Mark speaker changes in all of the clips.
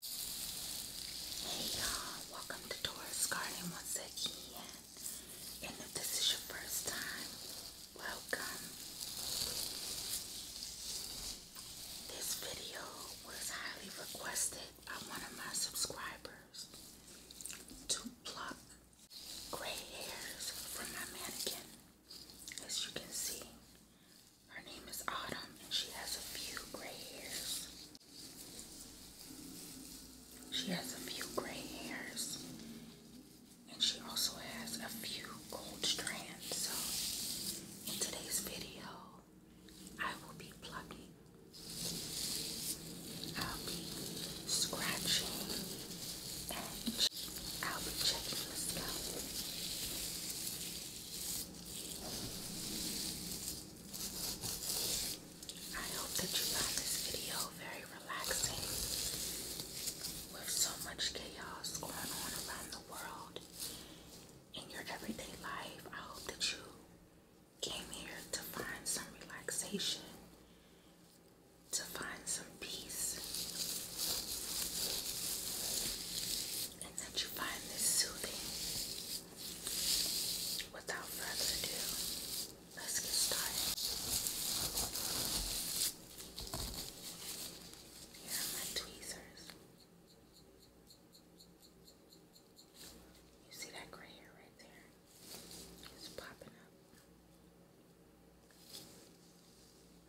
Speaker 1: Hey y'all, welcome to Taurus Garden once again. And if this is your first time, welcome. This video was highly requested by one of my subscribers to pluck gray hairs from my mannequin. As you can see, her name is Autumn, and she has a few gray hairs. She has a few gray hairs, and she also has a few gold strands. So, in today's video, I will be plucking, I'll be scratching, and I'll be checking the scalp. I hope that you found this video very relaxing. With so much chaos going on around the world in your everyday life, I hope that you came here to find some relaxation, to find some peace, that you find this soothing. Without further ado, let's get started. Here are my tweezers. You see that gray hair right there? It's popping up.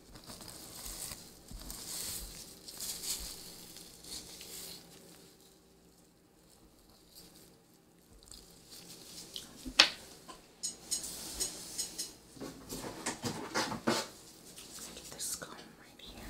Speaker 1: Get this comb right here.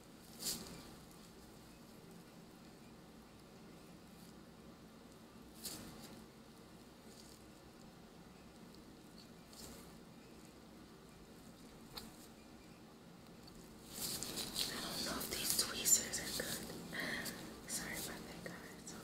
Speaker 1: I don't know if these tweezers are good. Sorry about that, guys. Okay.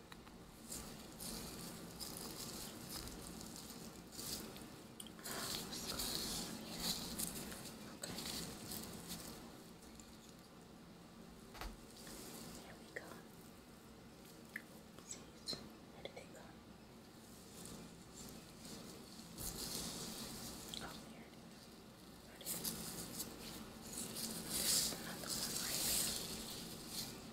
Speaker 1: There we go. Oopsies. Where did they go? Oh, there it is. Right here. This is another one right here.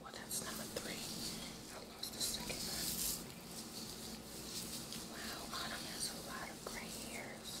Speaker 1: Well, that's number three. I lost the second one. Wow, Autumn has a lot of gray hairs.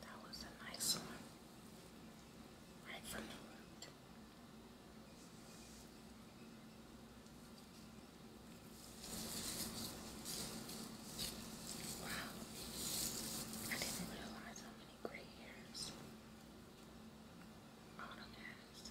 Speaker 1: That was a nice one. Right from the Wow. I didn't realize how many gray hairs Autumn has.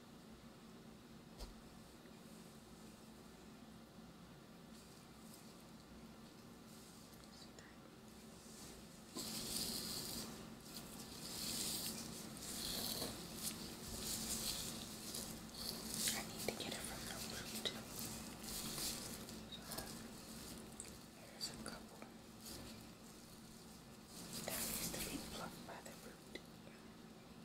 Speaker 1: I need to get it from the root. there's a couple. That needs to be plucked by the root.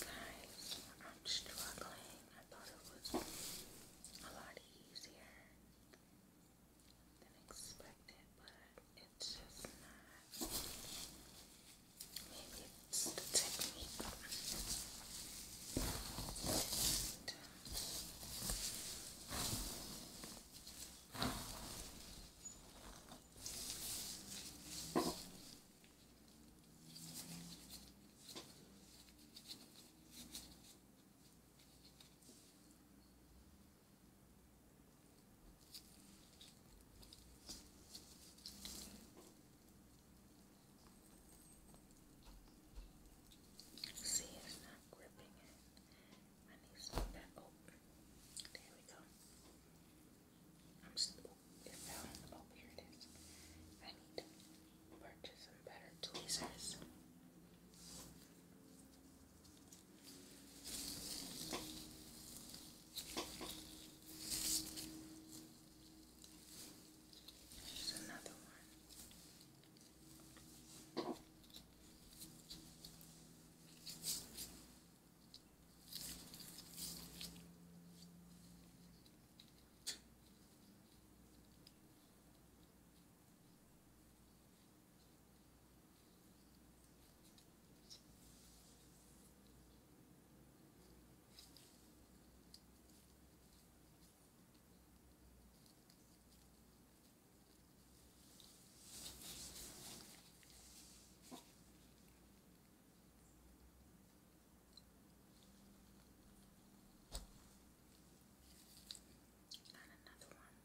Speaker 1: Guys, I'm struggling. I thought it was a lot easier than expected, but it's just not. Maybe it's the technique. See, it's not gripping it. I need some back open. There we go. I'm still, oh, it fell. Oh, here it is. I need to purchase some better tweezers. There's another one. And another one.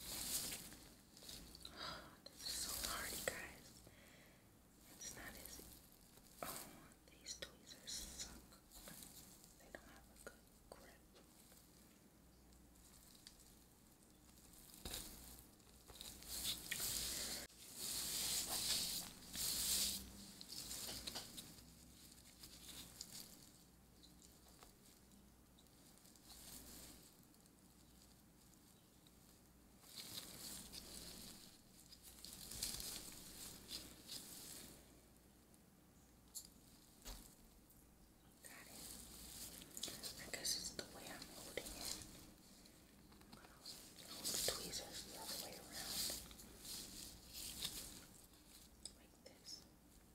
Speaker 1: this is so hard, you guys. It's not easy. Oh, these tweezers suck. They don't have a good grip. Got it. I guess it's the way I'm holding it. But I'll hold the tweezers the other way around. Like this.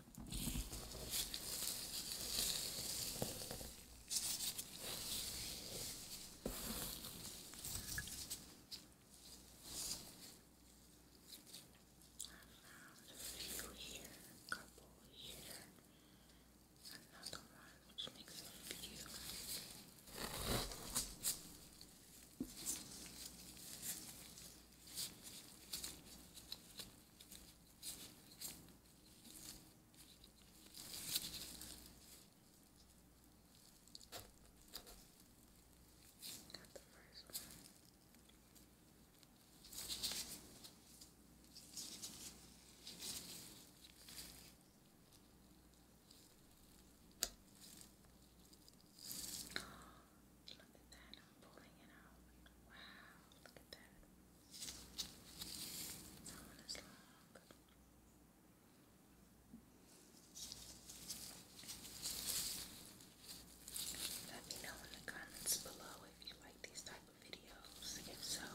Speaker 1: found a few here, a couple here, another one, which makes a few. Now Got the first one. Oh, Look Let me know in the comments below if you like these type of videos. If so,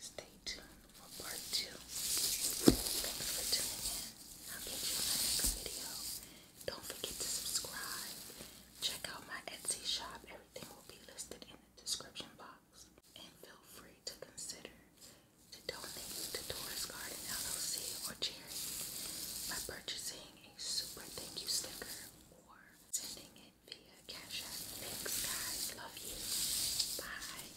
Speaker 1: stay tuned for part two. Thanks for tuning in. I'll catch you in my next video. Don't forget to subscribe. Check out my Etsy shop. Everything will be listed in the description box. And feel free to consider to donate to Taurus Garden LLC or charity by purchasing a super thank you sticker or sending it via Cash App. Thanks guys. Love you. Bye.